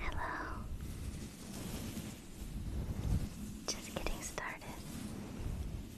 Hello. Just getting started.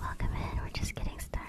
Welcome in, we're just getting started.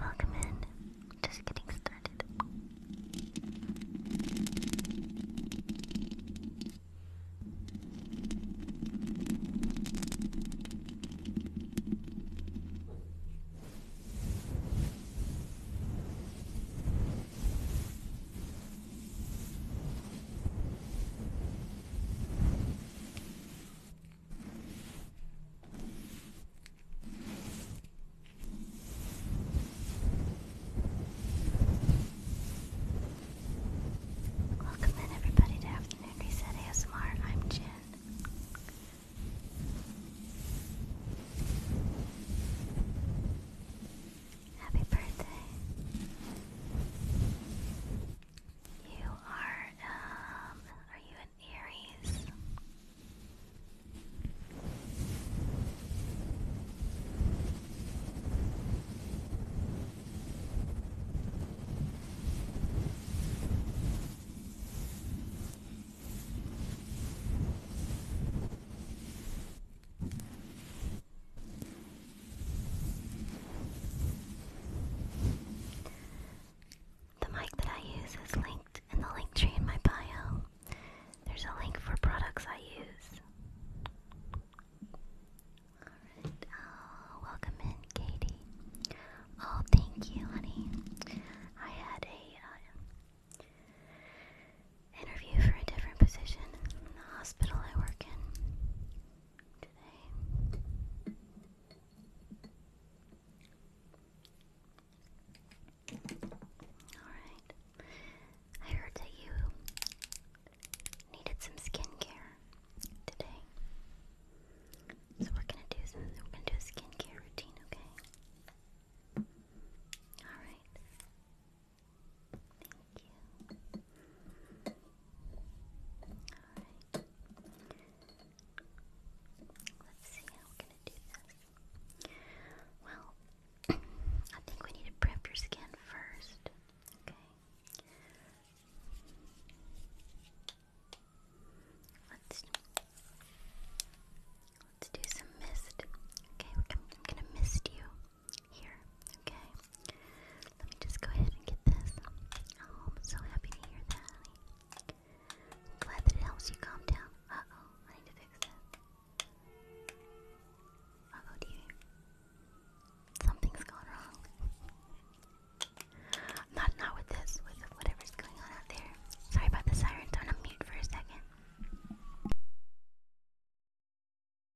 Welcome in. Just getting started. Welcome in everybody to Afternoon Reset ASMR. I'm Jen. Happy birthday. You are, um, are you an Aries? The mic that I use is linked in the link tree in my bio. There's a link for products I use. Alright, uh, welcome in, Katie. Oh, thank you, honey. I had a uh, interview for a different position in the hospital I work in today. Alright. I heard that you needed some skincare today. So we're gonna do some we're gonna do a skincare routine, okay? Alright you. Let's see how we're gonna do this. Well, I think we need to prep your skin first. Okay. Let's let's do some mist. Okay, I'm, gonna mist you here, okay? Let me just go ahead and get this. Oh, I'm so happy to hear that, glad that it helps you calm down. Uh oh, I need to fix this. oh, dear. Something's gone wrong. Not not with this, with whatever's going on out there. Sorry about the sirens. I'm gonna mute for a second.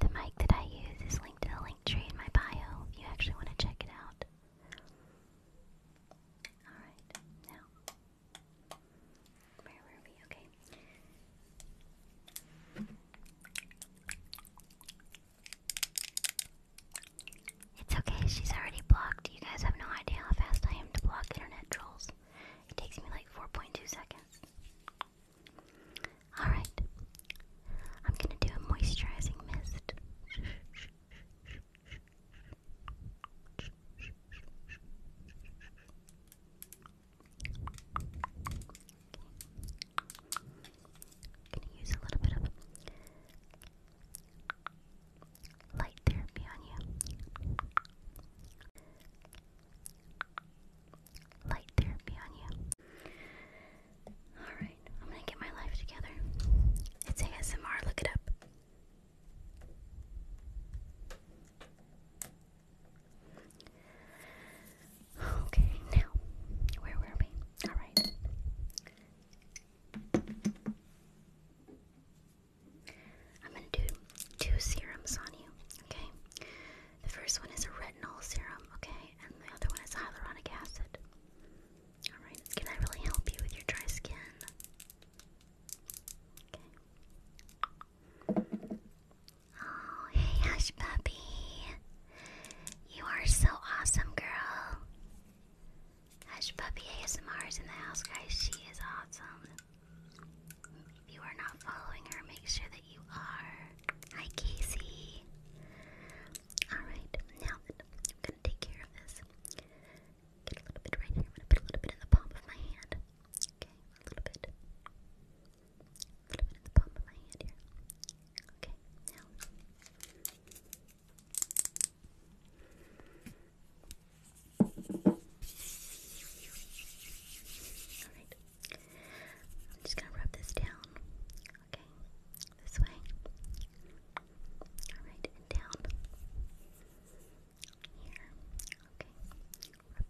The mic that I use is linked in the link tree in my bio if you actually want to check it out. Alright, Where were we? Okay. It's okay, she's already blocked. You guys have no idea how fast I am to block internet trolls. It takes me like 4.2 seconds. Alright. I'm gonna do a moisturizing mist. gonna use a little bit of light therapy on you. Light therapy on you. Alright, I'm gonna get my life together. It's ASMR, look it up. Okay, now, where were we? Alright. I'm gonna do two serums on you, okay? The first one is a retinol serum, okay? And the other one is hyaluronic acid. Alright, it's going really help you with your dry skin. Okay. Oh, hey, Hush Puppy. You are so awesome, girl. Hush Puppy ASMR is in the house, guys. She is awesome. If you are not following her, make sure that you are. Hi, Casey. Alright, now I'm gonna take care of this, get a little bit right here. I'm gonna put a little bit in the palm of my hand. Okay, a little bit. A little bit in the palm of my hand here. Okay, now. I'm just going to rub this down. Okay. This way. Alright, down. Here. Okay.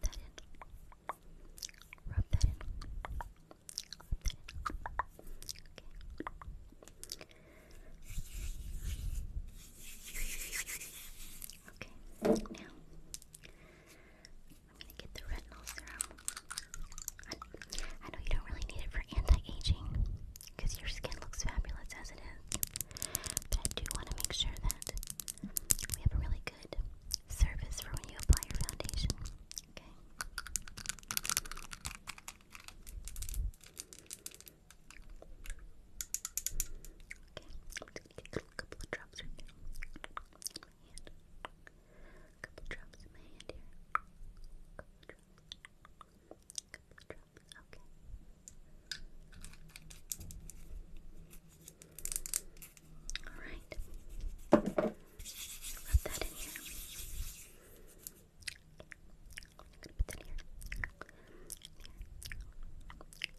that in. Rub that in. Rub that in. Okay. Okay, now I'm gonna get the retinol serum. I, know you don't really need it for anti-aging because your skin looks fabulous as it is, but I do want to make sure that we have a really good service for when you apply your foundation. Okay just gonna get a couple of drops in my hand. couple drops in my hand here. couple drops. couple drops. Okay. Alright. Rub that in here. Okay. put that in here. Here.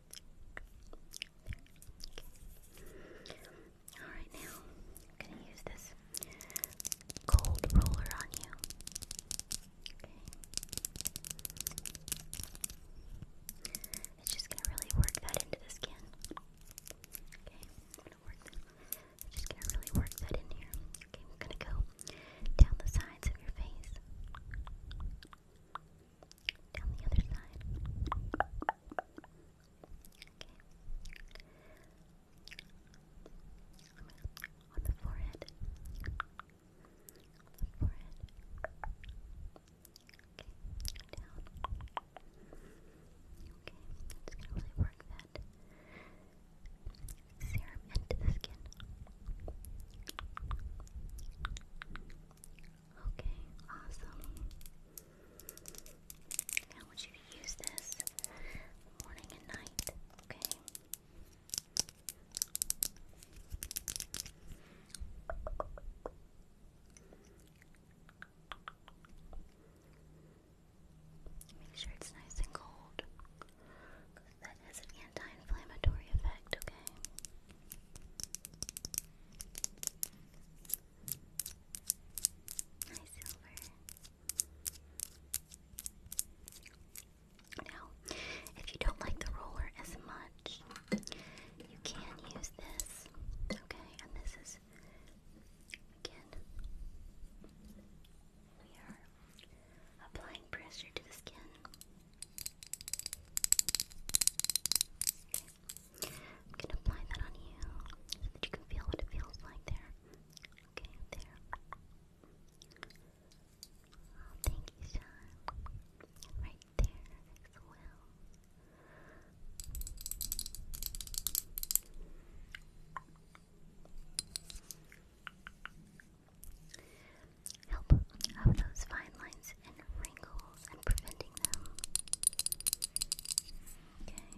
Alright, now I'm going to use this cold roller on you. Okay. It's just going to really work that into the skin. Okay, I'm going to work that. just going to really work that in here. Okay, I'm going to go down the sides of your face down the other side. Okay. On the forehead. The forehead. Okay. Down. Okay. It's going really work that serum into the skin. Okay, awesome. I want you to use this morning and night, okay? Make sure it's nice and cold that has an anti inflammatory effect, okay? Now, if you don't like the roller as much, you can use this. Okay, and this is again, we are applying pressure to the skin. I'm going to apply that on you so that you can feel what it feels like there. Okay, there. Oh, thank you, Sean. right there as well help of those fine lines and wrinkles and preventing them. Okay.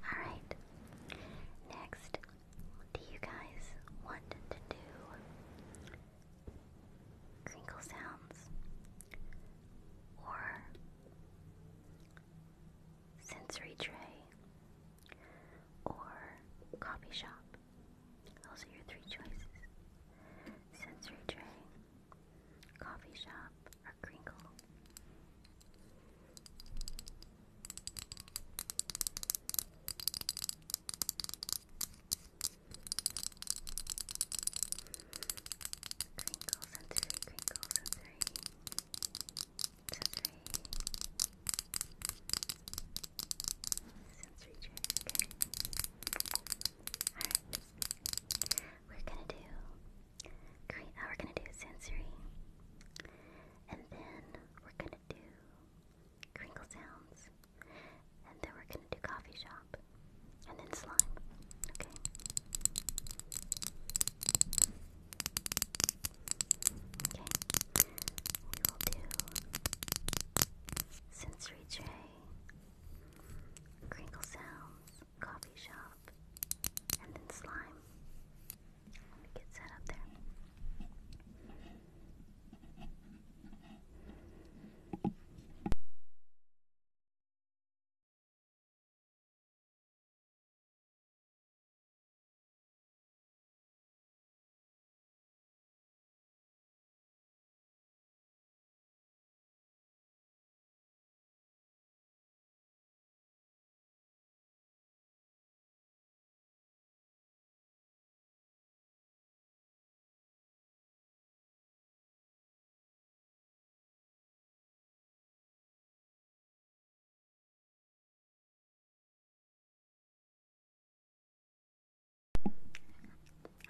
Alright. Next, do you guys want to do crinkle sounds? Or sensory tray? Or coffee shop? Those are your three choices. Sensory tray, coffee shop, or crinkle. Crinkle, sensory, crinkle, sensory, sensory, sensory trick. Okay. Alright. We're gonna do now we're gonna do sensory, and then we're gonna do crinkle sounds, and then we're gonna do coffee shop, and then slime. Okay. Okay. We will do sensory tray, crinkle sounds, coffee shop, and then slime. Get set up there.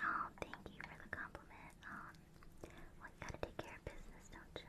Oh, thank you for the compliment. Um, well, you gotta take care of business, don't you?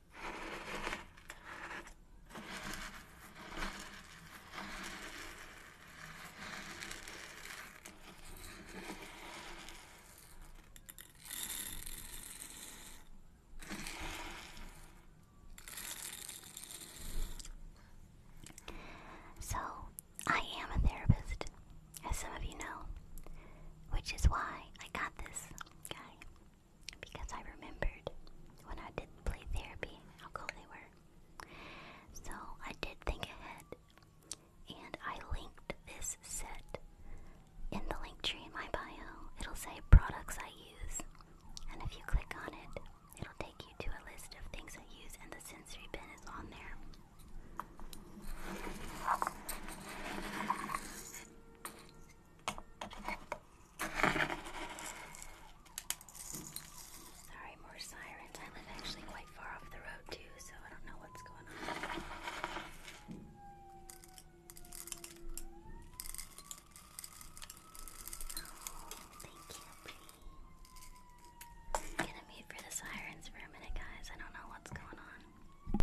So, I am a therapist, as some of you know, which is why I got this guy because I remembered when I did play therapy how cool they were. So I did think ahead and I linked this set in the link tree in my bio. It'll say products I use, and if you click on it, it'll take you to a list of things I use, and the sensory bin is on there. Sorry, more sirens. I live actually quite far off the road too, so I don't know what's going on. Oh, thank you, gonna mute for the sirens for a minute, guys. I don't know what's going on.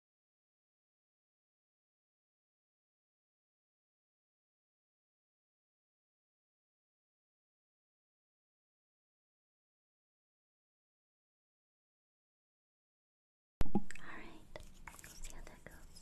Alright, we'll see how that goes.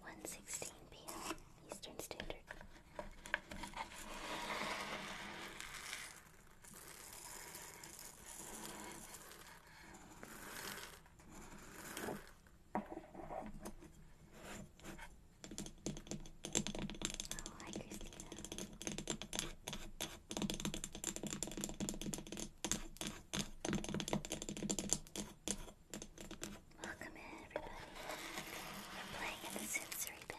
One sixteen p.m. Eastern Standard hi, Christina. Welcome in, everybody. We're playing at the sensory bin.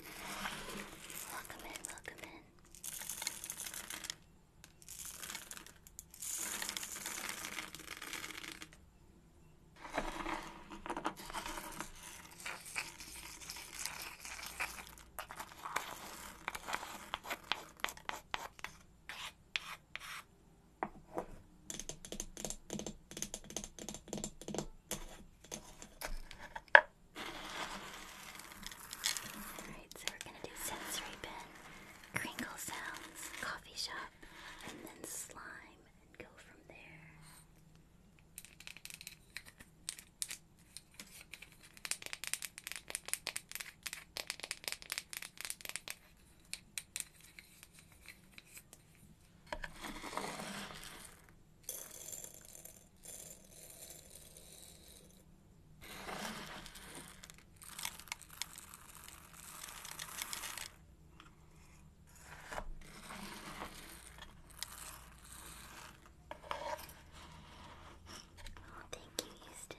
Welcome in, welcome in. Alright, so we're gonna do sensory bin, crinkle sounds, coffee shop, and then slime, and go from there. Oh, thank you, Houston.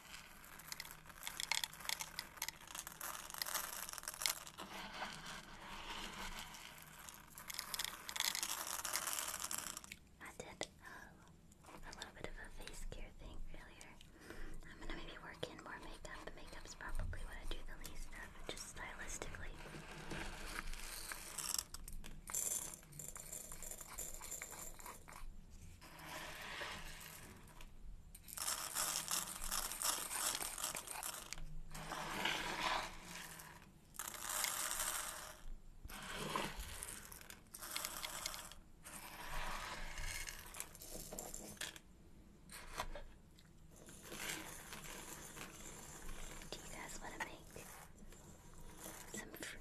I did a little bit of a face care thing earlier. I'm gonna maybe work in more makeup. but makeup is probably what I do the least of, just stylistically. Do you guys want to make some fruit?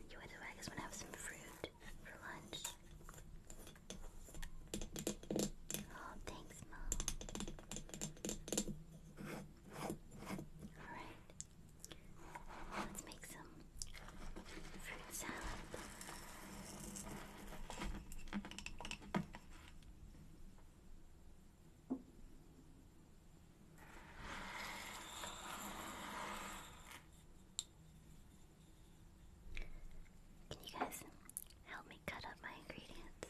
You guys want to have some fruit for lunch? Oh, thanks, Mom. Alright. Let's make some fruit salad. All can you guys help me cut up my ingredients?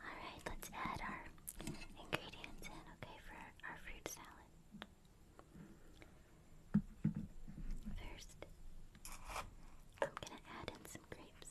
Alright, let's add our ingredients in, okay, for our fruit salad. First, I'm gonna add in some grapes.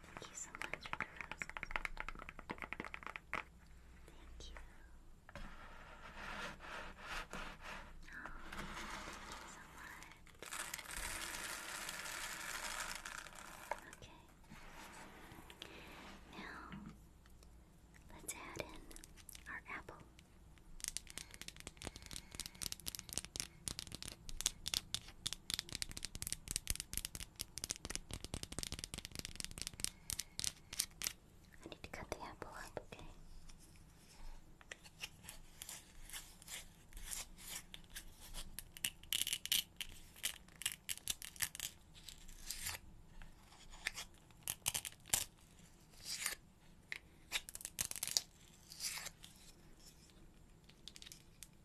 Thank you so much for the roses. Thank you. thank you so much. Okay. Now, let's add in our apple. I need to cut the apple up, okay?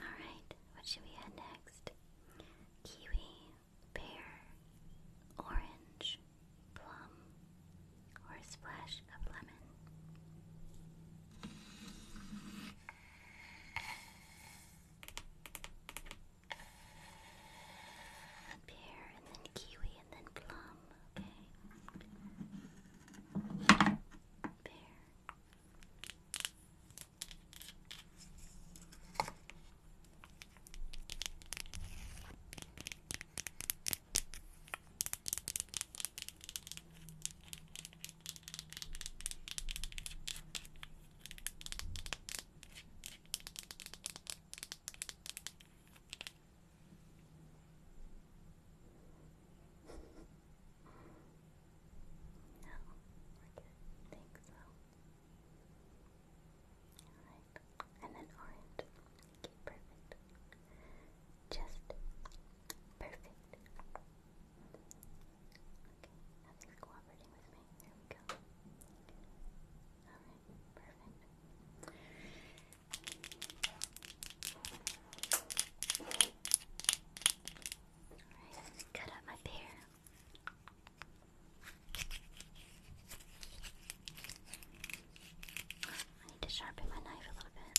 Alright, what should we add next? Kiwi, pear, orange, plum, or a splash of lemon. pear and then kiwi and then plum, okay? Pear. No, I don't think so. Alright, and then orange. perfect. Just perfect. Okay, nothing's cooperating with me. Here we go. Alright, perfect. Alright, cut up my pear. I need to sharpen my knife a little bit.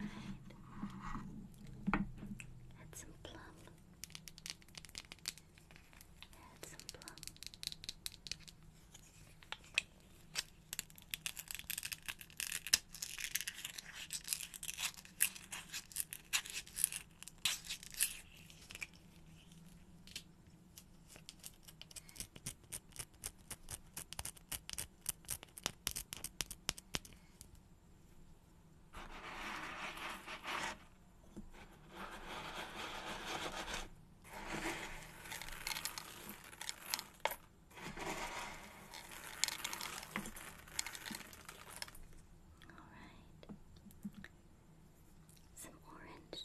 Alright. Add some plum. Add some plum. All right. Some orange.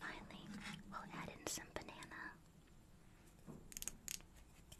Finally, we'll add in some banana.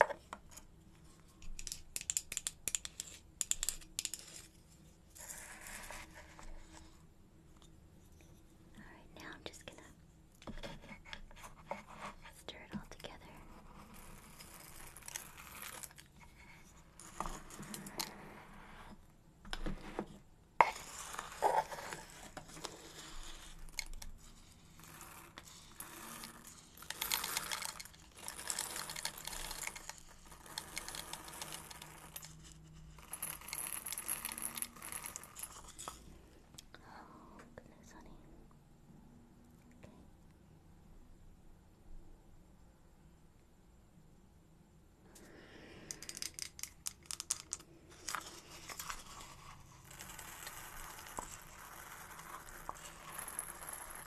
Alright, now I'm just gonna stir it all together. Oh, goodness, honey. Okay. Okay.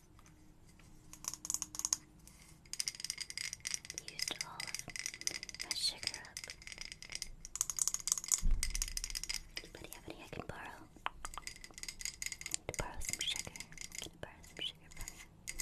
Used all of my sugar up. Anybody have any I can borrow? To borrow some sugar. Can borrow some sugar you?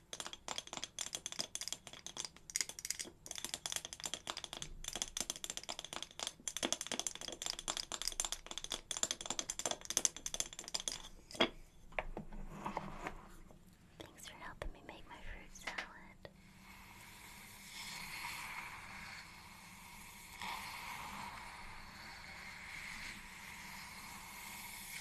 Thanks for helping me make my fruit salad.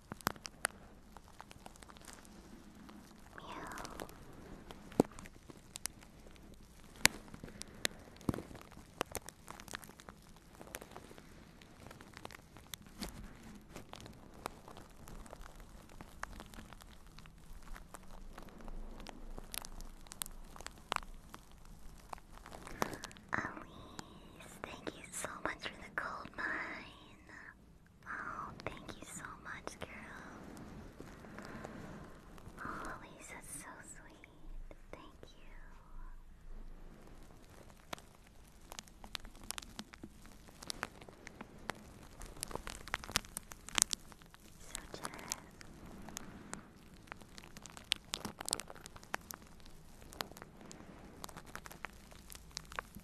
Elise, thank you so much for the gold mine. Oh, thank you so much, girl. Oh, Lisa's so sweet. Thank you. So generous.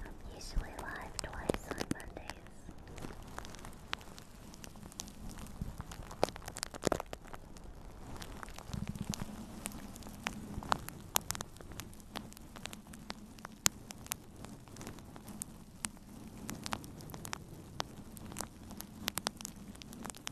I'm usually live twice on Mondays.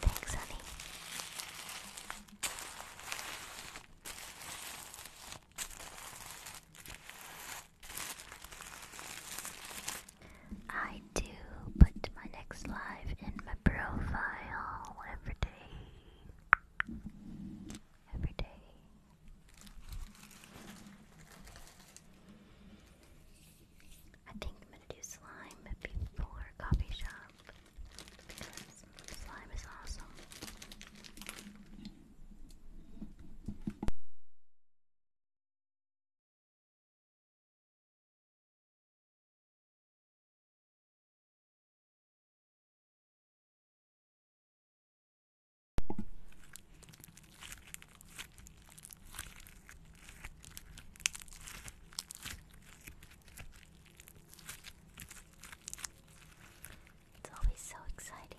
Thanks, honey. I do put my next live in my profile every day every day. I think I'm gonna do slime before coffee shop because slime is awesome. It's always so exciting.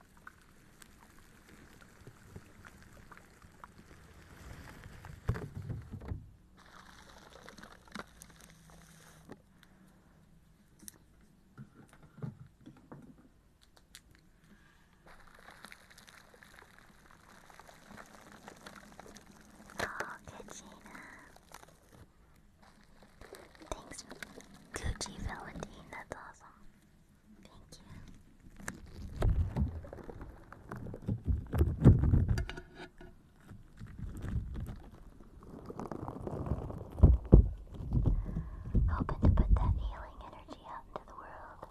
Oh, Cucina. Thanks, Gucci Valentine, that's awesome you. Hoping to put that healing energy out into the world.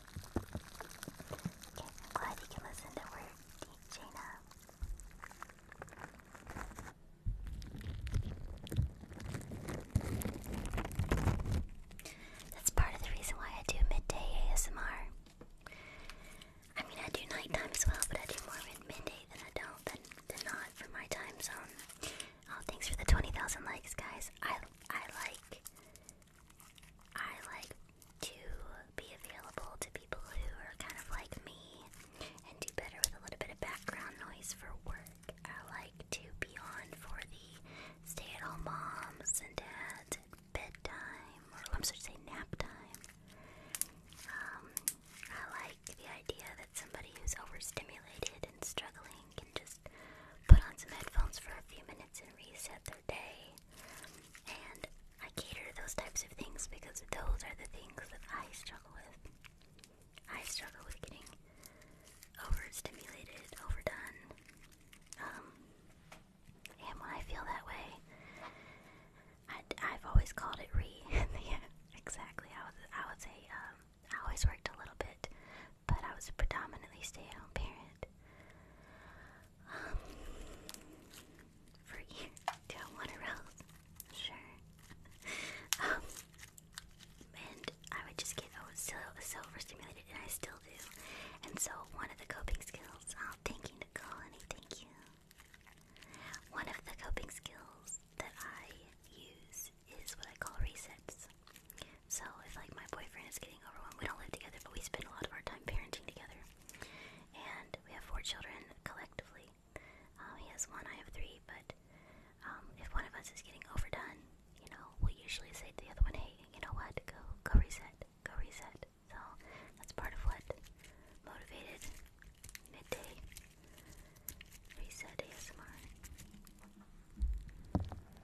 I'm glad you can listen to word teaching now. That's part of the reason why I do midday ASMR. I mean, I do nighttime as well, but I do more midday than I don't than, than not for my time zone. Oh, thanks for the twenty thousand likes, guys. I I like I like to be available to people who are kind of like me and do better with a little bit of background noise for work. I like to be on for the stay at home moms and dads at bedtime, or I'm sorry to say nap time. Um, I like the idea that somebody who's overstimulated and struggling can just put on some headphones for a few minutes minutes and reset their day. And I cater to those types of things because those are the things that I struggle with. I struggle with getting overstimulated, overdone. Um, and when I feel that way, I, I've always called it re. yeah, exactly. I would, I would say um, I always worked a little bit but I was a predominantly stay-at-home parent. Um, for years, do I want to roast? Sure. Um, and I would just get oh, so so overstimulated, and I still do. And so one of the coping skills, oh, thank you, Nicole, and thank you. One of the coping skills that I use is what I call resets. So if like my boyfriend is getting over overwhelmed, we don't live together, but we spend a lot of our time parenting together, and we have four children collectively. Um, he has one, I have three, but um, if one of us is getting overdone, you know, we usually say to the other one, "Hey, you know what? Go, go reset, go reset." So that's part of what motivated midday reset ASMR.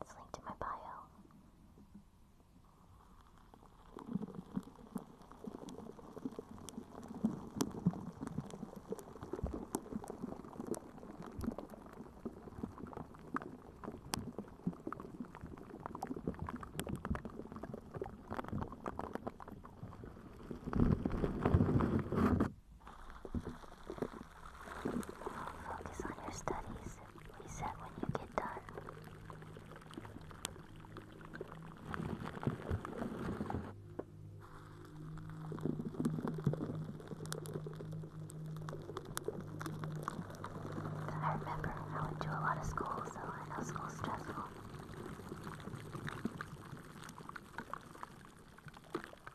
It's linked in my bio. Focus on your studies. Reset when you get done. I remember I went to a lot of school, so I know school is stressful.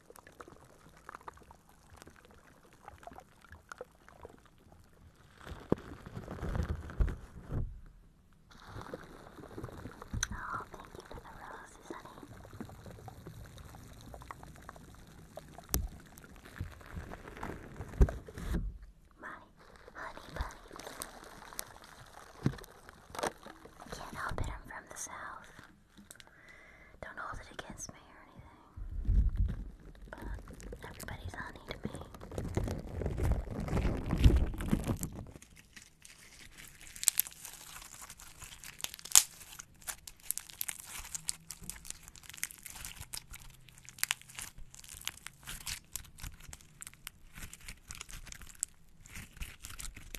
Oh, thank you for the roses, honey. My honey bunny. Can't help it, I'm from the south. Don't hold it against me or anything. But everybody's honey to me.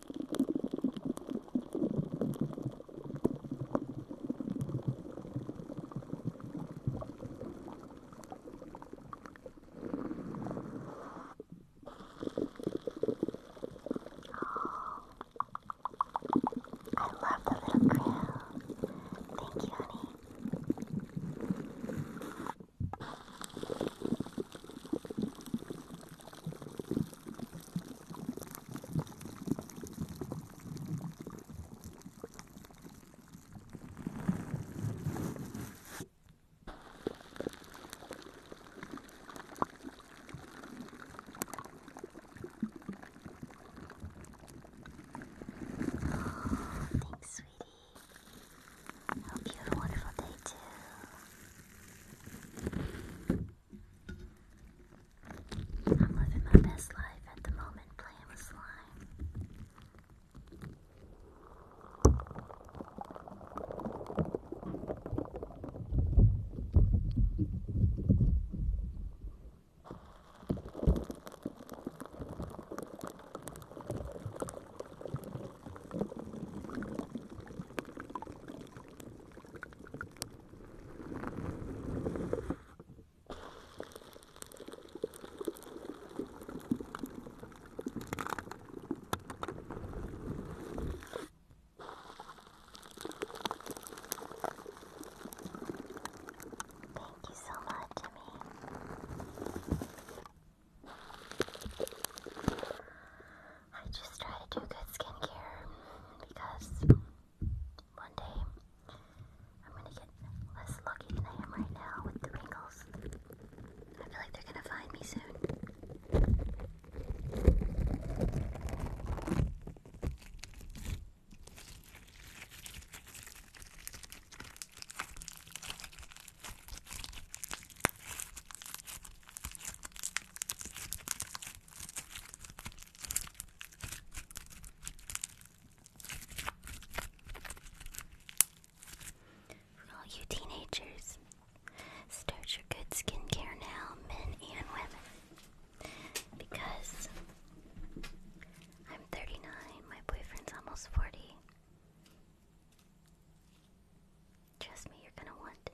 I love the little crown. Thank you, honey. Thanks, sweetie. I hope you have a wonderful day, too. I'm living my best life at the moment playing with slime. Thank you so much, Jimmy. I just try to do good skincare because one day I'm gonna get less lucky than I am right now with the wrinkles. I feel like they're gonna find me soon. For all you teenagers, start your good skincare now, men and women. Because I'm 39, my boyfriend's almost 40. Trust me, you're gonna want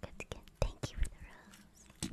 Good, good. Thank you for the rose.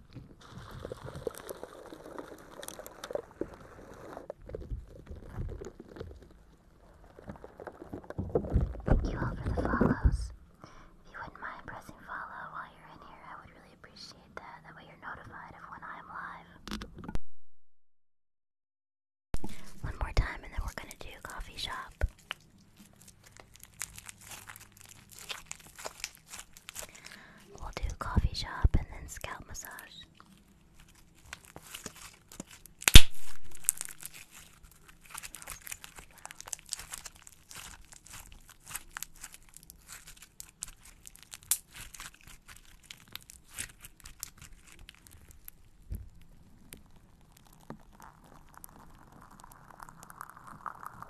Thank you all for the follows. If you wouldn't mind pressing follow while you're in here, I would really appreciate that. That way you're notified of when I'm live. One more time, and then we're gonna do coffee shop. We'll do coffee shop and then scalp massage.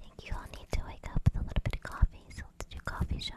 think you all need to wake up with a little bit of coffee, so let's do coffee shop.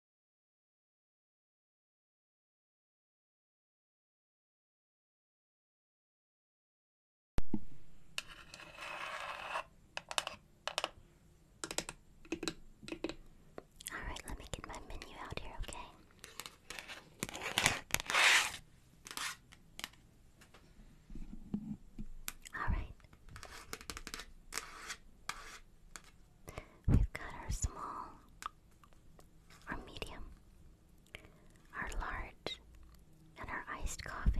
Alright, let me get my menu out here, okay? Alright. We've got our small, our medium, our large, and our iced coffee.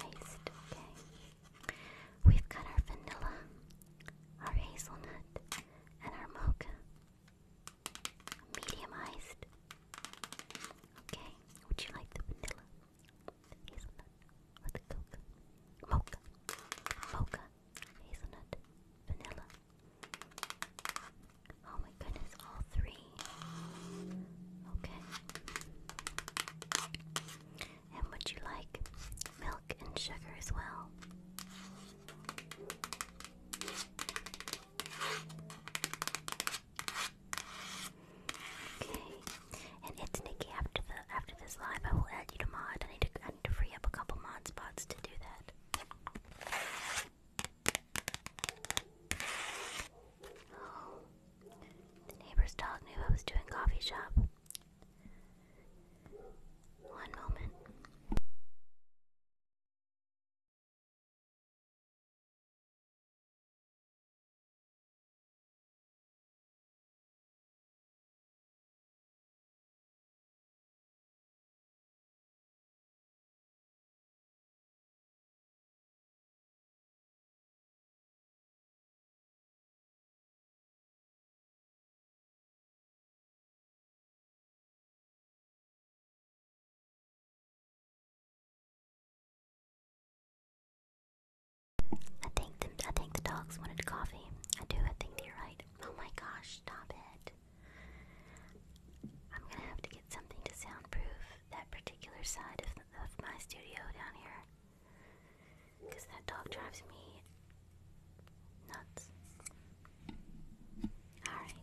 Iced, okay. We've got our vanilla, our hazelnut, and our mocha. Medium iced. Okay, would you like the vanilla? Hazelnut or the coca? Mocha. Mocha. Hazelnut. Vanilla. Oh my goodness, all three. Okay. And would you like milk and sugar as well? Okay. And it's Nikki. After the after this live, I will add you to mod. I need to I need to free up a couple mod spots to do that. Oh, the neighbor's dog knew I was doing coffee shop. One moment. I think the I think the dogs wanted coffee. I do. I think you're right. Oh my gosh! Stop it! I'm gonna have to get something to soundproof that particular side of my studio down here. Because that dog drives me nuts. Alright.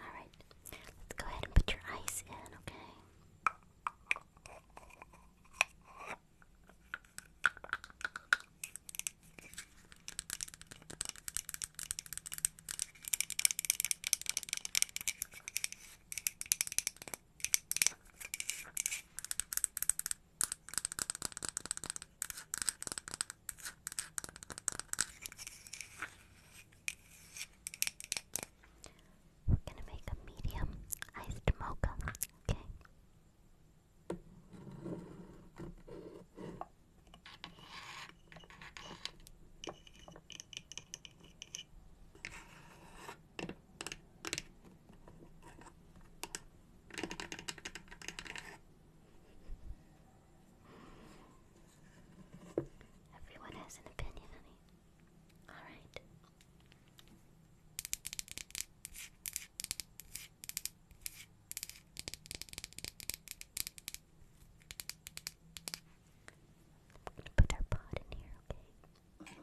Alright. Let's go ahead and put your ice in, okay? We're going to make a medium iced mocha, okay? Everyone has an opinion on it. All right gonna put our pod in here, okay?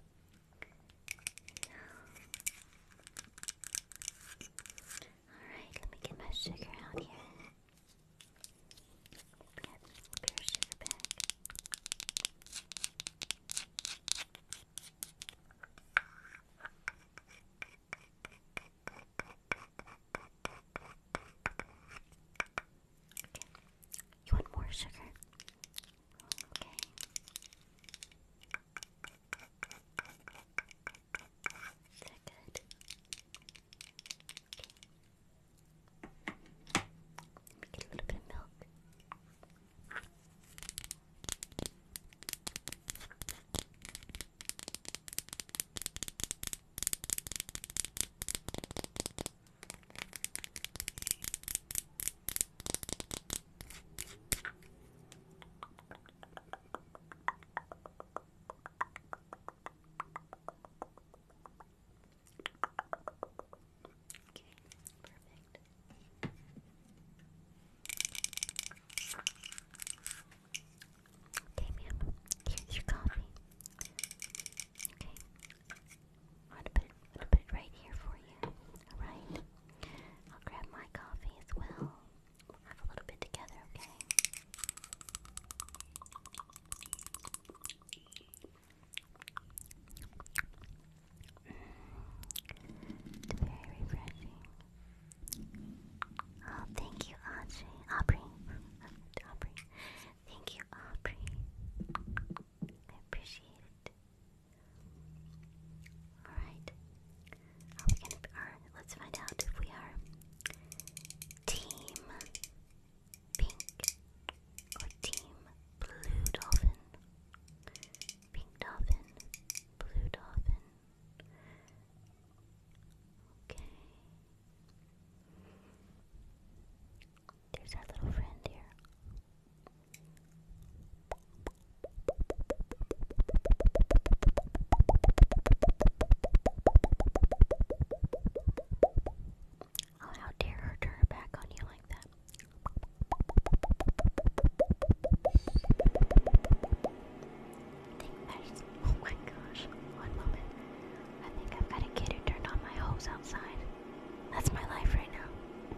Alright, let me get my sugar out here. sugar back. You want more sugar? Okay. Is that good? Okay. Let me get a little bit of milk. Okay, ma'am. Here's your coffee. Okay. I'm gonna, put it, right here for you. Alright? I'll grab my coffee as well. have a little bit together, okay? It's mm. very refreshing. Oh, thank you, Audrey. Aubrey. Aubrey. Thank you, Aubrey. I appreciate it. Alright. Are we gonna be let's find out if we are team pink or team blue dolphin. Pink dolphin, blue dolphin. Okay. There's our little friend here. Oh, how dare her turn back on you like that? Oh my gosh. One moment. I think I've got a kid who turned on my hose outside. That's my life right now.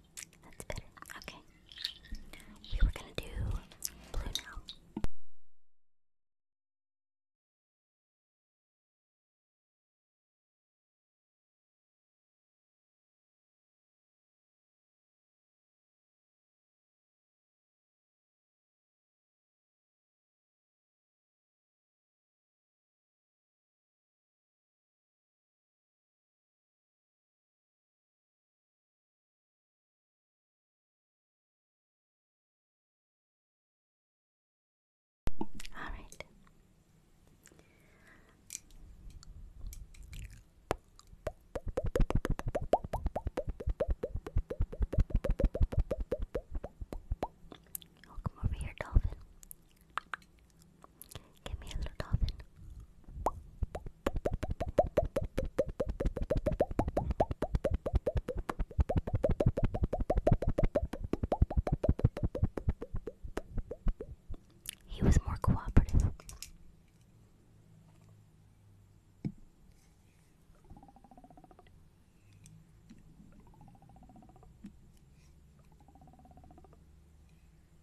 Okay. We were gonna do blue now. All right. Oh, over here, dolphin. Give me a little dolphin. He was more cooperative.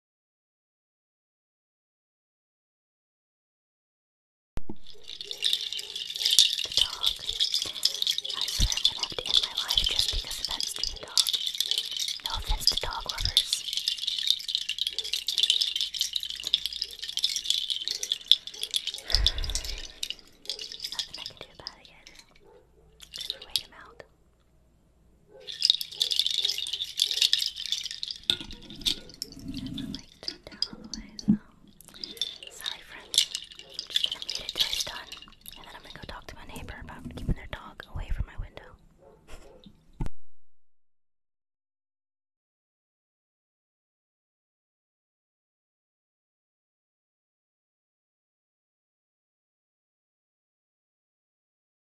The dog. I swear I'm gonna have to end my life just because of that stupid dog. No offense to dog lovers. Nothing I can do about it Just wait him out. Sorry, friends. I'm just gonna mute it till done. And then I'm gonna go talk to my neighbor about keeping their dog away from my window.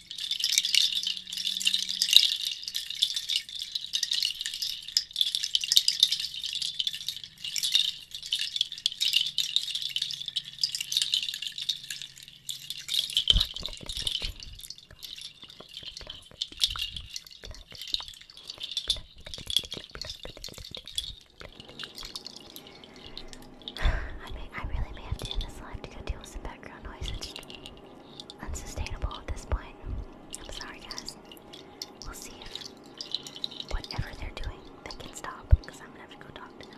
I mean, I really may have to end this live to go deal with some background noise. It's unsustainable at this point. I'm sorry, guys. We'll see if whatever they're doing, they can stop because I'm gonna have to go talk to them.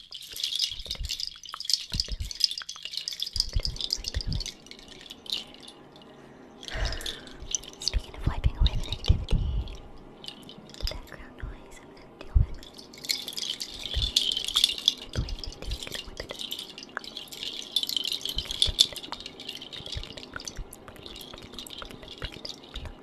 Speaking of wiping away the negativity, the background noise, I'm gonna deal with it. Wipe away the negativity, I'm gonna wipe it. Okay, I'm gonna take it. I'm gonna take it. I'm gonna take it. I'm gonna take it. I'm gonna take it. I'm gonna take it.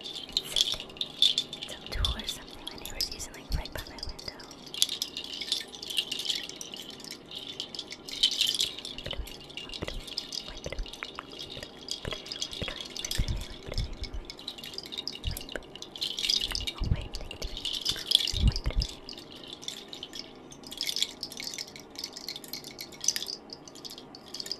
some tool or something my neighbor's using like right by my window. Oh wait, take it away. Wipe it away. Wipe it away.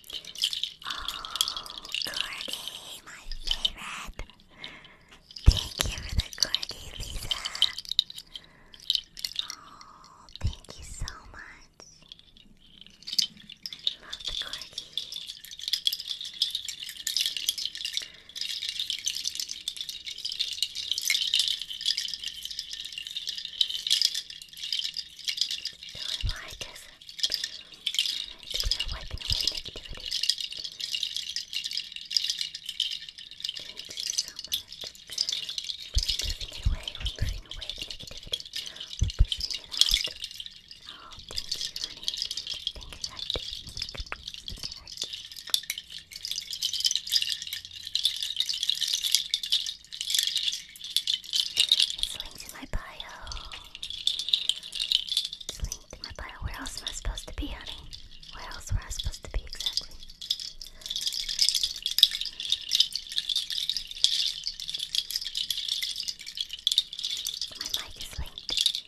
Oh, Cordy, my favorite. Thank you for the Cordy, Lisa. Oh, thank you so much. I love the Cordy. Don't like this Right, we are wiping away Thank you We're moving away, we're moving away We're pushing it out. Oh, thank you, honey. Thank It's linked in my bio. Where else am I supposed to be, honey? Where else were I supposed to be exactly? My mic is linked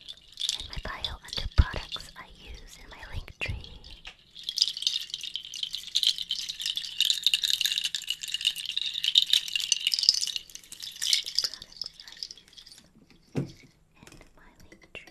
in my bio under products I use in my link tree. Products I use and my link tree.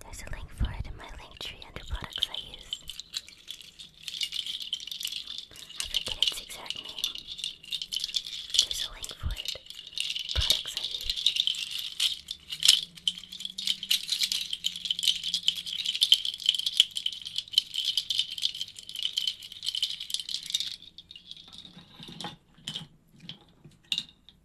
There's a link for it in my link tree under products I use. I forget its exact name. There's a link for it. Products I use.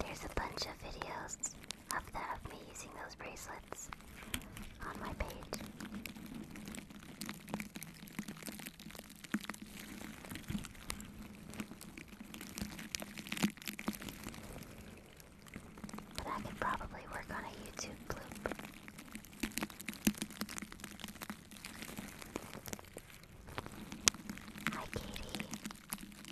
There's a bunch of videos of me using those bracelets on my page. But I could probably work on a YouTube loop. Hi, Katie.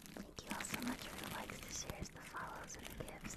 Thank you all so much for the likes, the shares, the follows, and the gifts.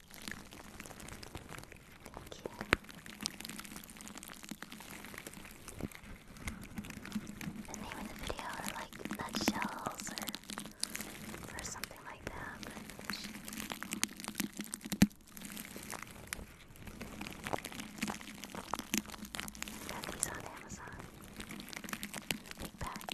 The name of the video are like nutshells or, or something like that. these on Amazon. Big pack.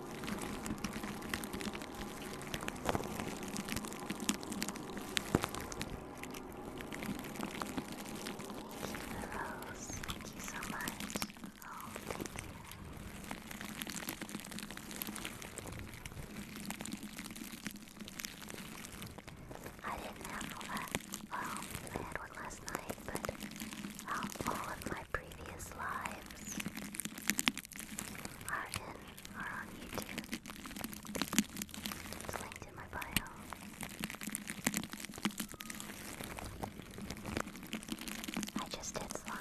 Thank you so much. Oh, thank you. I didn't have all Well, I had one last night, but all of my previous lives are are on YouTube. It's linked in my bio. I just did slime.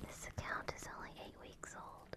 This account is only eight weeks old.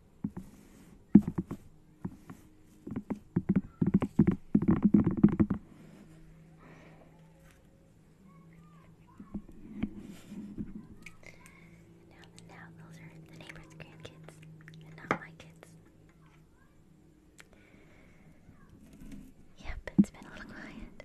Now, now those are the neighbor's grandkids and not my kids. Yep, it's been a little quiet.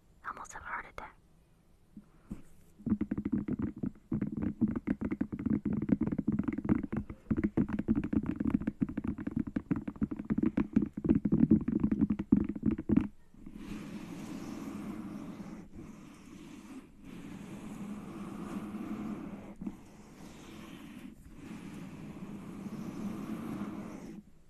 almost have a heart attack.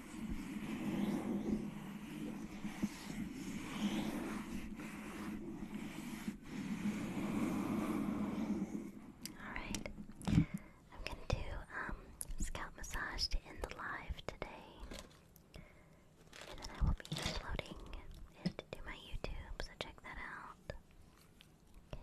Alright. I'm gonna do um, scalp massage to end the live today. And then I will be uploading it to my YouTube, so check that out. Okay.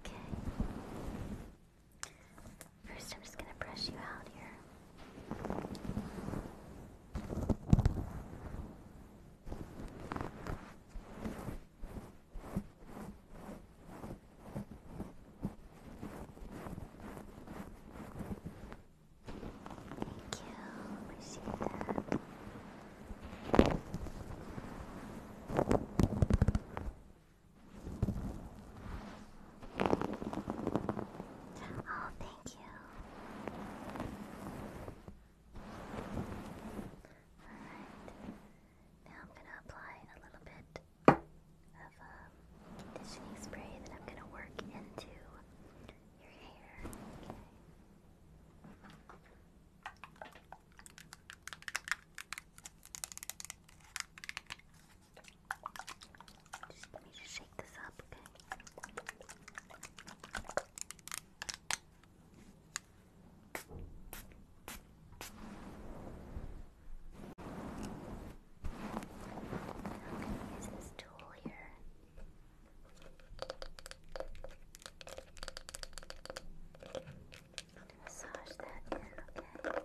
Okay. First, I'm just going to brush you out here. Appreciate that. Oh, Thank you. Alright. Now I'm going to apply a little bit of um, conditioning spray that I'm going to work into your hair let me just shake this up, okay? I'm use this tool here. massage that in, okay?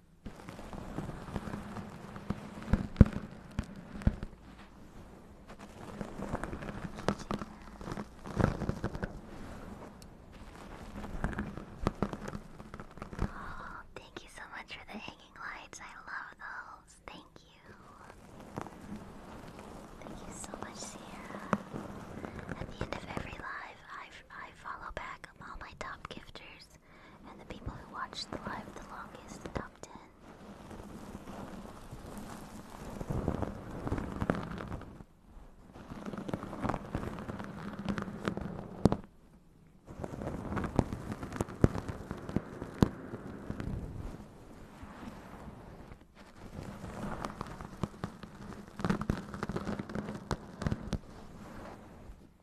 Oh, thank you so much for the hanging lights. I love those. Thank you. Thank you so much, Sierra. At the end of every live, I, I follow back all my top gifters and the people who watched the live the longest top 10.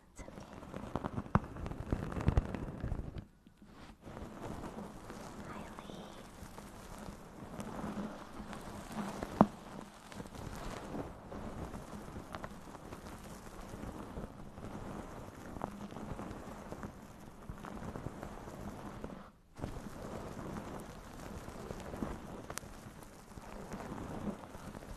It's okay. Hi, Lee. Hi,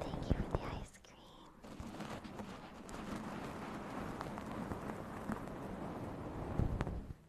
Thank you for the ice cream.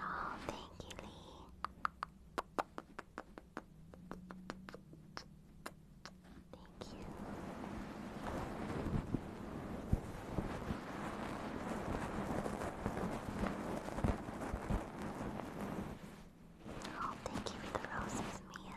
Oh, thank you, Lee. Thank you. Oh, thank you for the roses, Mia.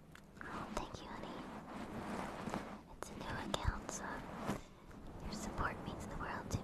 Thank you, honey. It's a new account, so your support means the world to me.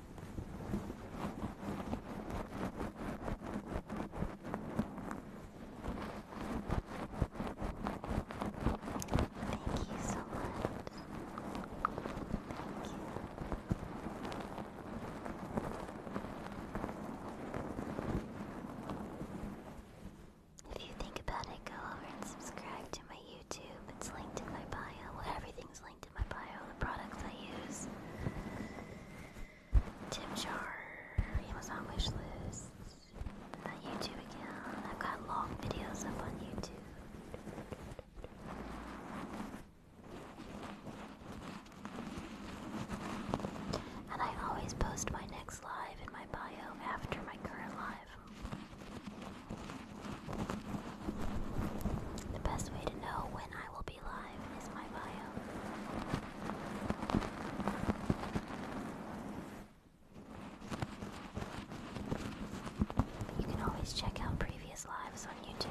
Thank you so much. If you think about it, go over and subscribe to my YouTube. It's linked in my bio. everything's linked my bio, the products I use. Tipjar, Amazon wishlist, my YouTube account. I've got long videos up on YouTube. And I always post my next live in my bio after my current live. The best way to know when I will be live is my bio. You can always check out previous lives on YouTube.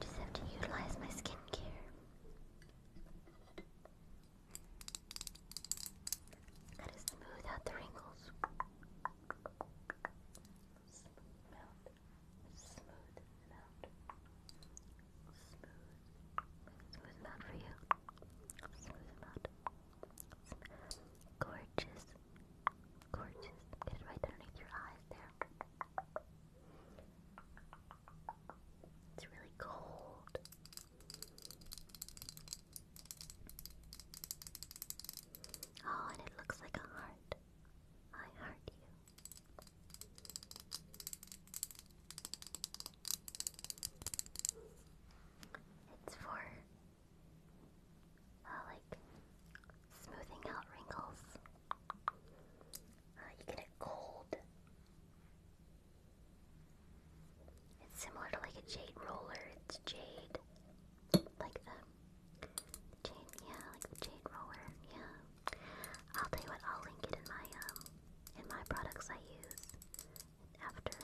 Just have to utilize my skincare. That is smooth out the wrinkles. Smooth out. Smooth out. Smooth. Smooth out for you. Smooth them out. Gorgeous. Gorgeous. Get it right underneath your eyes there. It's really cold. Oh, and it looks like a heart. I heart you. It's for uh, like smoothing out wrinkles. Uh, you get it cold. It's similar to like a jade roller. It's jade, like the jade, yeah, like the jade roller, yeah. I'll tell you what, I'll link it in my um, in my products I use after.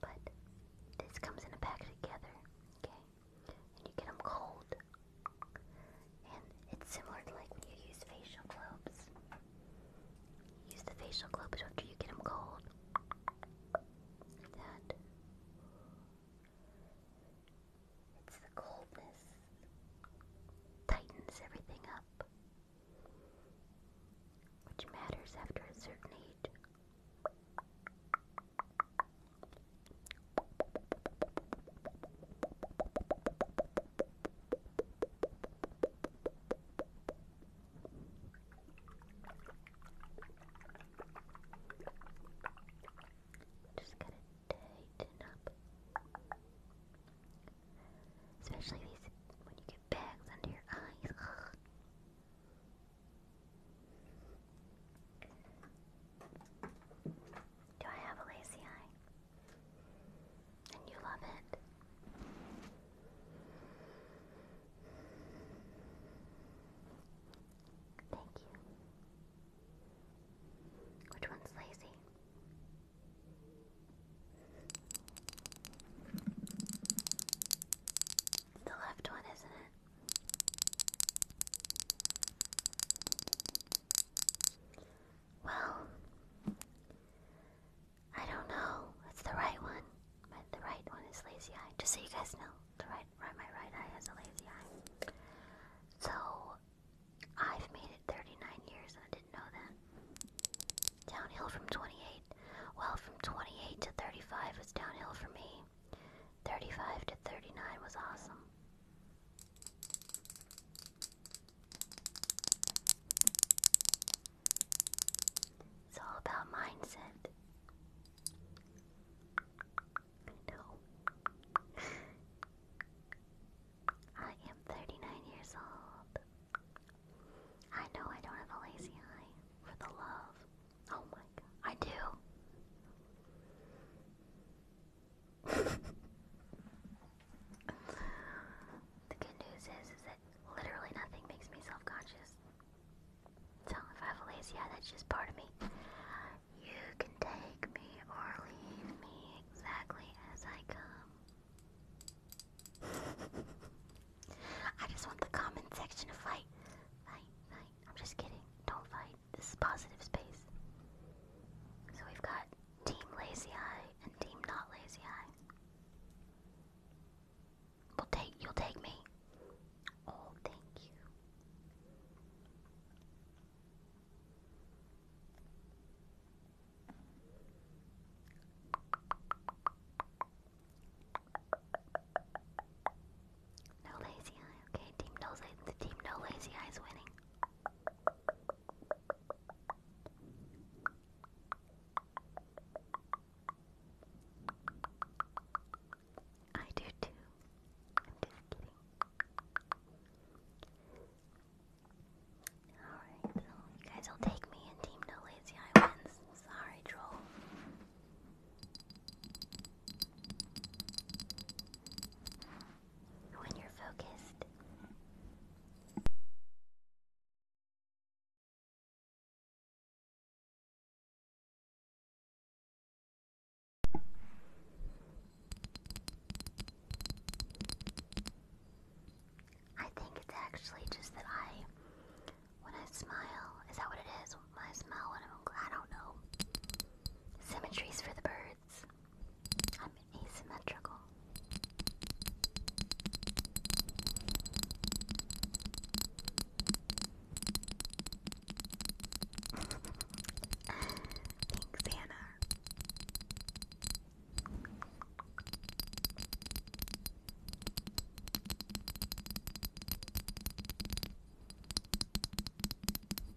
But this comes in a pack together, okay? and you get them cold. And it's similar to like when you use facial globes. Use the facial globes after you get them cold. Like that. It's the coldness. Tightens everything up. Which matters after a certain age. Just gotta tighten up. Especially these when you get bags under your eyes. Do I have a lazy eye? And you love it. Thank you. Which one's lazy? the left one, isn't it? Well, I don't know. It's the right one. the right one is lazy eye. Just so you guys know, the right, right, my right eye has a lazy eye. So I've made it 39 years I didn't know that. Downhill from 28. Well, from 28 to 35 was downhill for me. 35 to 39 was awesome. It's all about mindset. No. I am 39 years old. I know I don't have a lazy eye. For the love. Oh my god. I do. the good news is, is that literally nothing makes me self-conscious. So if I have a lazy that's just part of me. You can take me or leave me exactly as I come. I just want the comment section to fight. Fight, fight. I'm just kidding. Don't fight. This is positive space. So we've got Team Lazy Eye and Team Not Lazy Eye. we take you'll take me. Oh, thank you. No lazy eye. Okay, team no lazy. The team no lazy eye is winning. I do too. I'm just kidding. Alright, you guys will take me and Team No Lazy Eye wins. Sorry, troll when you're focused. I think it's actually just that I, when I smile, is that what it is? When smile I do not know. Symmetries for the birds. I'm asymmetrical. Thanks, Hannah.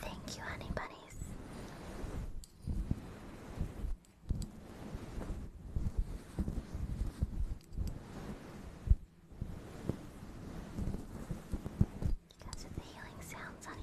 Thank you, honeybunnies. bunnies. You the healing sounds, honey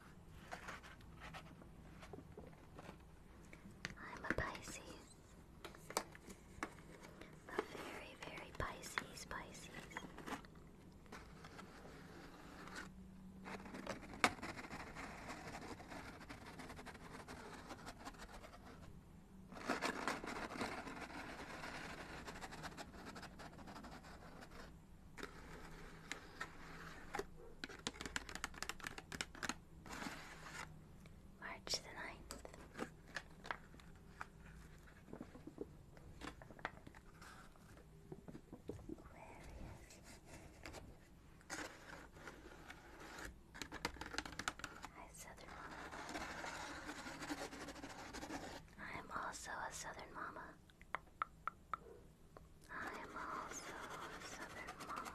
I'm a Pisces. A very, very Pisces, Pisces. March the ninth. Aquarius. I'm also a Southern Mama. I am also a Southern mom.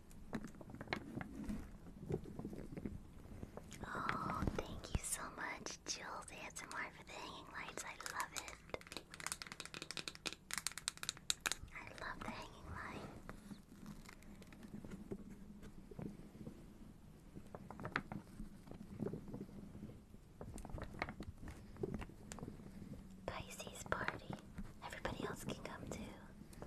Oh, thank you so much, Jules ASMR, for the hanging lights. I love it. I love the hanging lights. Pisces party. Everybody else can come too.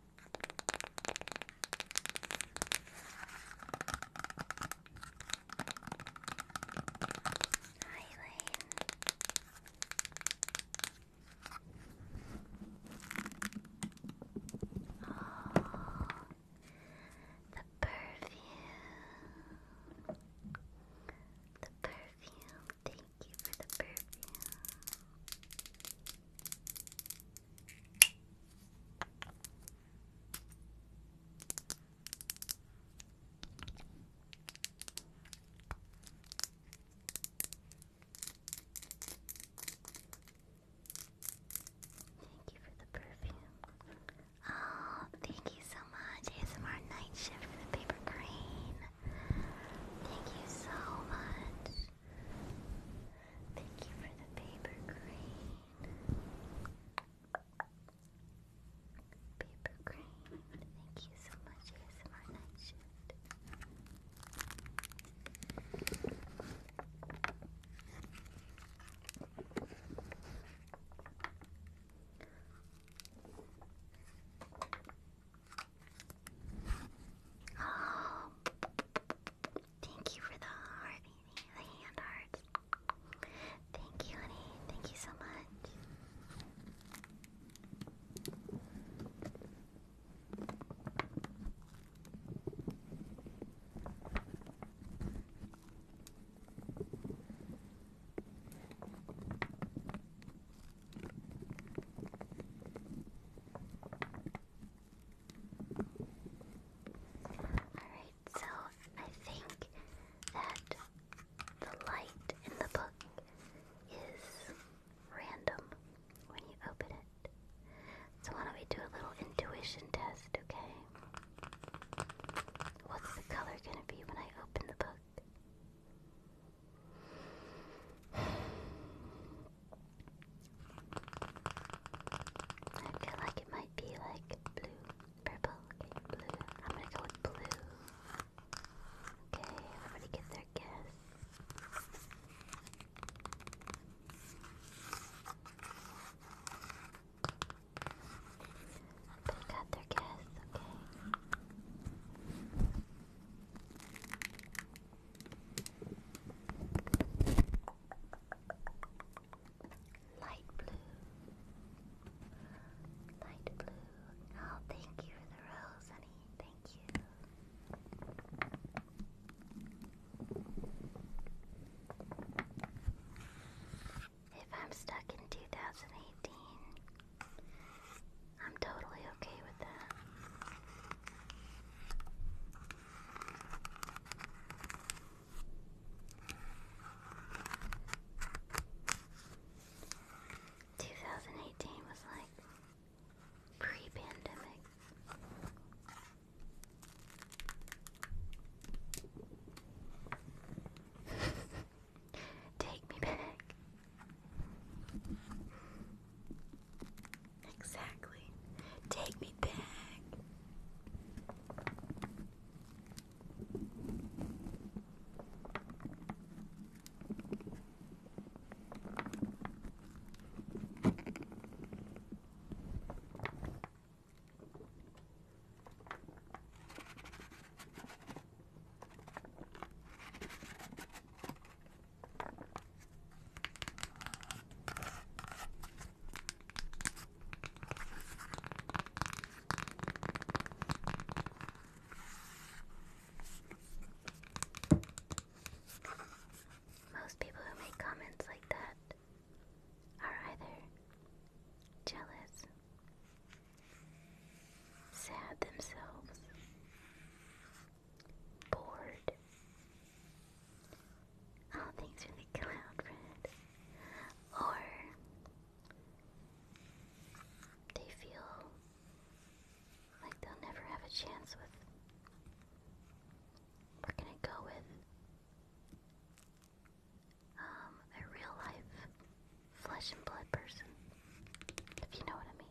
Hi, Elaine. Oh, the perfume. The perfume. Thank you for the perfume. Thank you for the perfume. Oh, thank you so much, ASMR Night Shift for the paper crane. Thank you so much. Thank you for the paper crane. Paper crane. Thank you so much, ASMR Night Shift. Oh, Thank you for the heart, the hand hearts. Thank you, honey. Thank you so much. Alright, so I think that the light in the book is random when you open it. So why don't we do a little intuition test, okay? What's the color gonna be when I open the book? I feel like it might be like blue, purple, okay, blue. I'm gonna go with blue. Okay, everybody get their guess. They got their guess, okay. Light blue. Light blue. Oh, thank you for the rose, honey. Thank you. If I'm stuck in 2018, I'm totally okay with that. 2018 was like pre pandemic. Take me back. Exactly. Take me back. Most people who make comments like that are either jealous, sad themselves, bored. Oh, thanks for the cloud, Or they feel like they'll never have a chance with. We're gonna go with um, a real life flesh and blood person, if you know what I mean.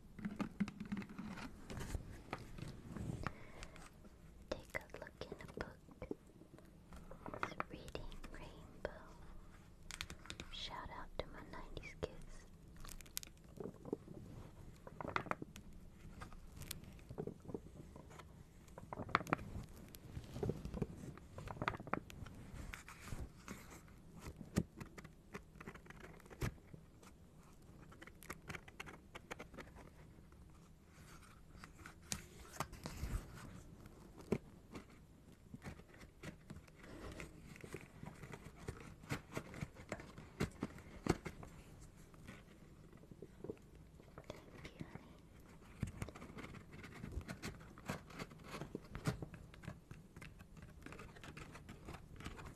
Take a look in a book. Reading Rainbow. Shout out to my 90s kids. Thank you, honey.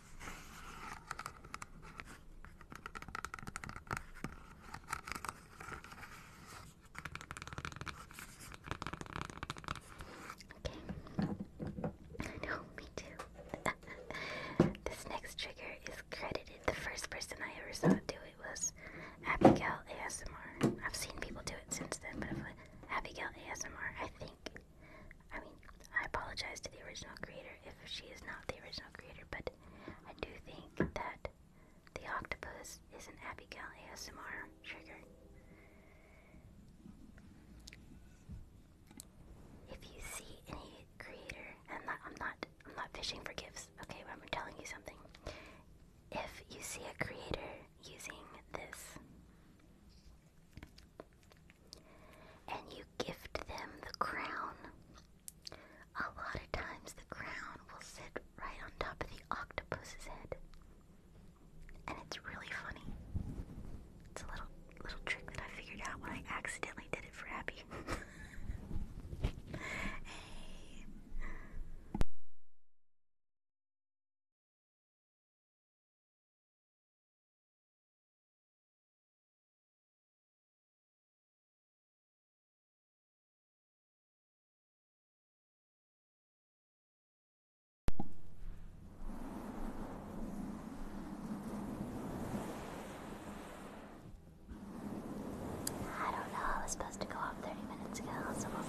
I know, me too. this next trigger is credited. The first person I ever saw do it was Abigail ASMR. I've seen people do it since then, but I've like Abigail ASMR, I think I mean, I apologize to the original creator if she is not the original creator, but I do think that the octopus is an Abigail ASMR trigger. If you see any creator, and I'm not, I'm not fishing for gifts. Okay, but I'm telling you something. If you see a creator using this, and you gift them the crown. A lot of times, the crown will sit right on top of the octopus's head, and it's really funny. It's a little little trick that I figured out when I accidentally did it for Abby. hey. I don't know, I was supposed to go off 30 minutes ago, so we'll see.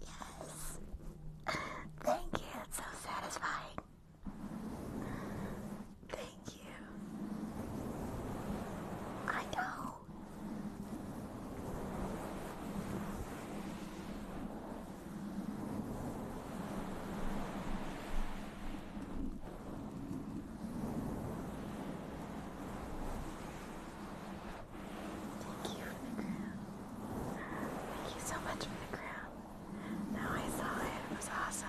Yes. Thank you. It's so satisfying. Thank you. I know. Thank you for the crown. Thank you so much for the crown. Now I saw it. It was awesome.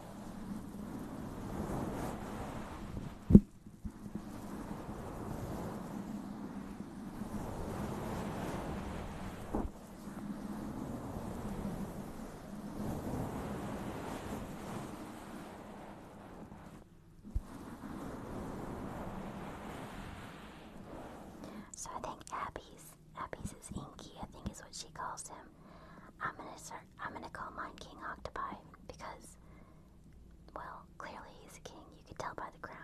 So I think Abby's, Abby's is Inky, I think is what she calls him. I'm gonna search. I'm gonna call mine King Octopi because, well, clearly he's a king. You could tell by the crown.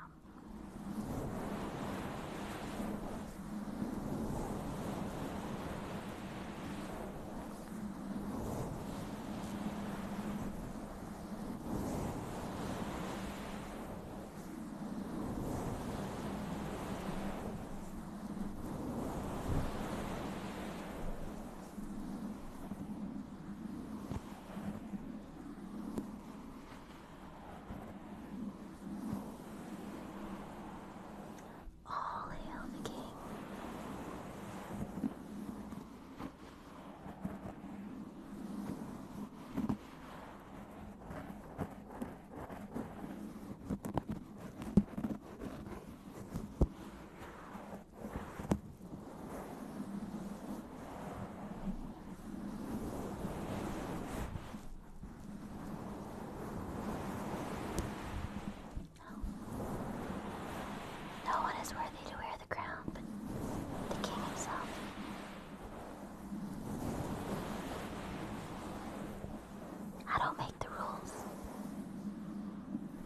All hail the king. No one is worthy to wear the crown but the king himself. I don't make the rules.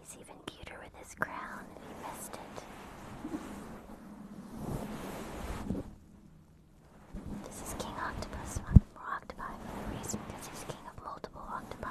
He's even cuter with his crown. He missed it. This is King Octopus one, Octopi for because he's king of multiple octopi.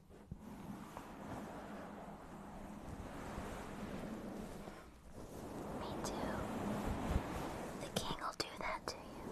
Me too. The king will do that to you.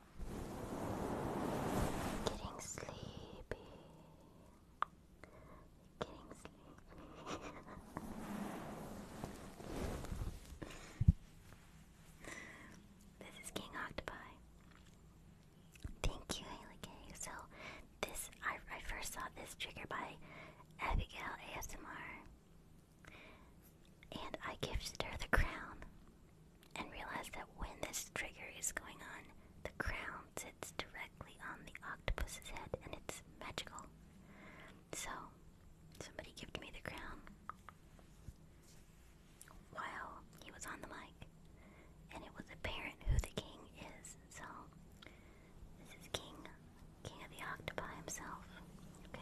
Getting sleepy. Getting sleepy. this is King Octopi. Thank you, Haley So, this I, I first saw this trigger by Abigail ASMR, and I gifted her the crown and realize that when this trigger is going on, the crown sits directly on the octopus's head and it's magical. So, somebody gifted me the crown while he was on the mic, and it was apparent who the king is. So, this is King, King of the Octopi himself. Okay.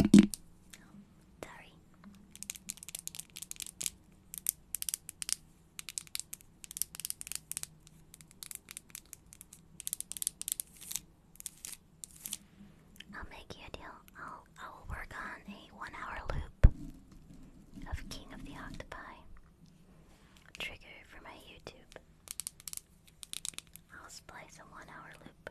Okay. Oh, sorry. I'll make you a deal. I'll I'll work on a one-hour loop of King of the Octopi trigger for my YouTube. I'll splice a one-hour loop.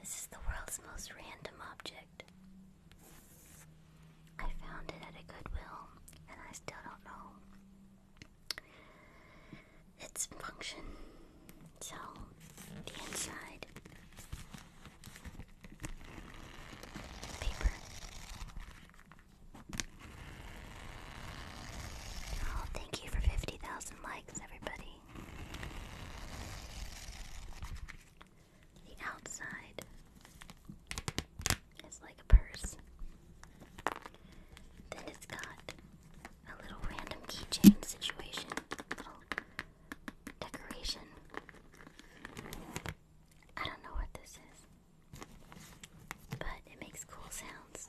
This is the world's most random object. I found it at a Goodwill, and I still don't know its function. So, the inside paper. Oh, thank you for 50,000 likes, everybody. The outside it's like a purse. Then it's got a little random keychain situation, little decoration. I don't know what this is, but it makes cool sounds.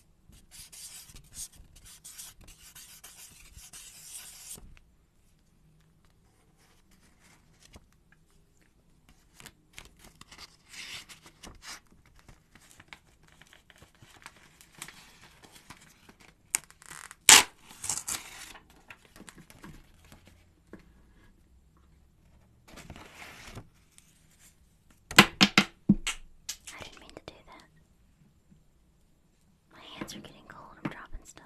I didn't mean to do that. My hands are getting cold, I'm dropping stuff.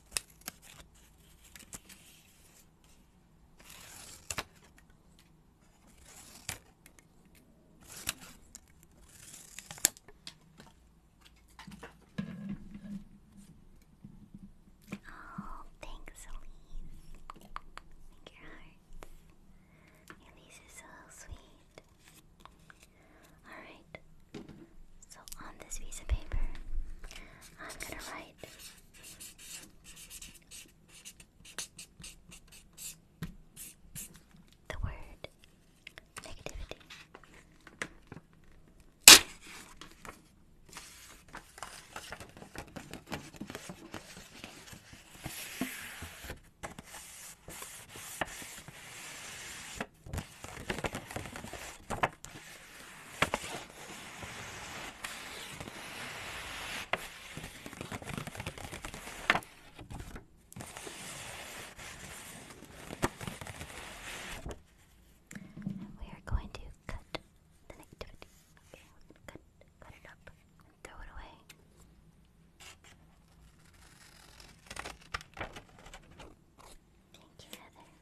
Oh, thanks, Elise. Thank you, hearts. Yeah, these so sweet. Alright, so on this piece of paper, I'm gonna write the word negativity. We are going to cut the negativity. Okay, cut, cut it up throw it away. Thank you, Heather.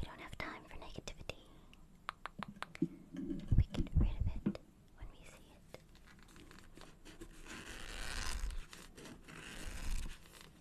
We don't have time for negativity. We get rid of it when we see it.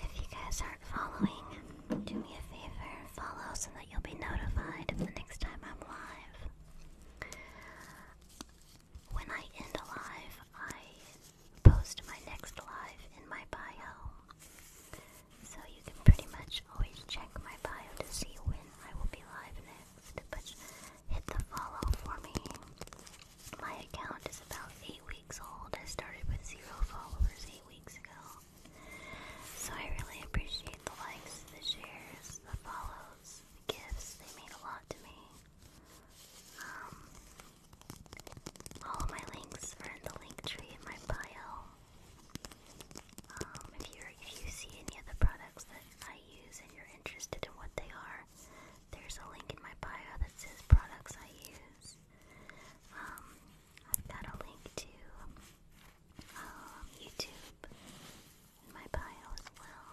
If you guys aren't following, do me a favor follow so that you'll be notified the next time I'm live. When I end a live, I post my next live in my bio. So you can pretty much always check my bio to see when I will be live next to push, hit the follow for me. My account is about eight weeks old. I started with zero followers eight weeks ago. So I really appreciate the likes, the shares, the follows, the gifts. They mean a lot to me. Um, all of my links are in the link tree in my bio. Um, if you if you see any of the products that I use and you're interested in what they are, there's a link in my bio that says products I use. Um, I've got a link to um, YouTube in my bio as well.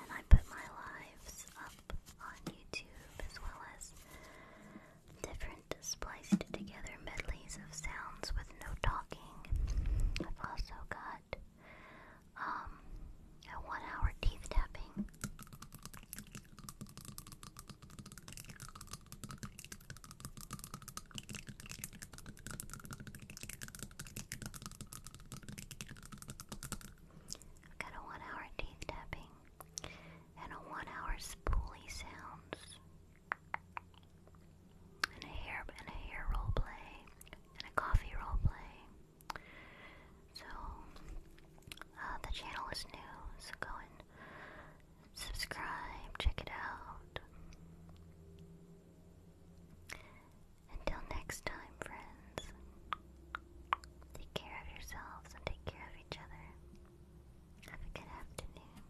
And I put my lives up on YouTube as well as different spliced together medleys of sounds with no talking. I've also got um, a one hour teeth tapping. I got a one hour teeth tapping and a one hour spooly sounds and a hair and a hair role play and a coffee roleplay. So, uh, the channel is new, so go and subscribe, check it out. Until next time, friends, take care of yourselves and take care of each other. Have a good afternoon.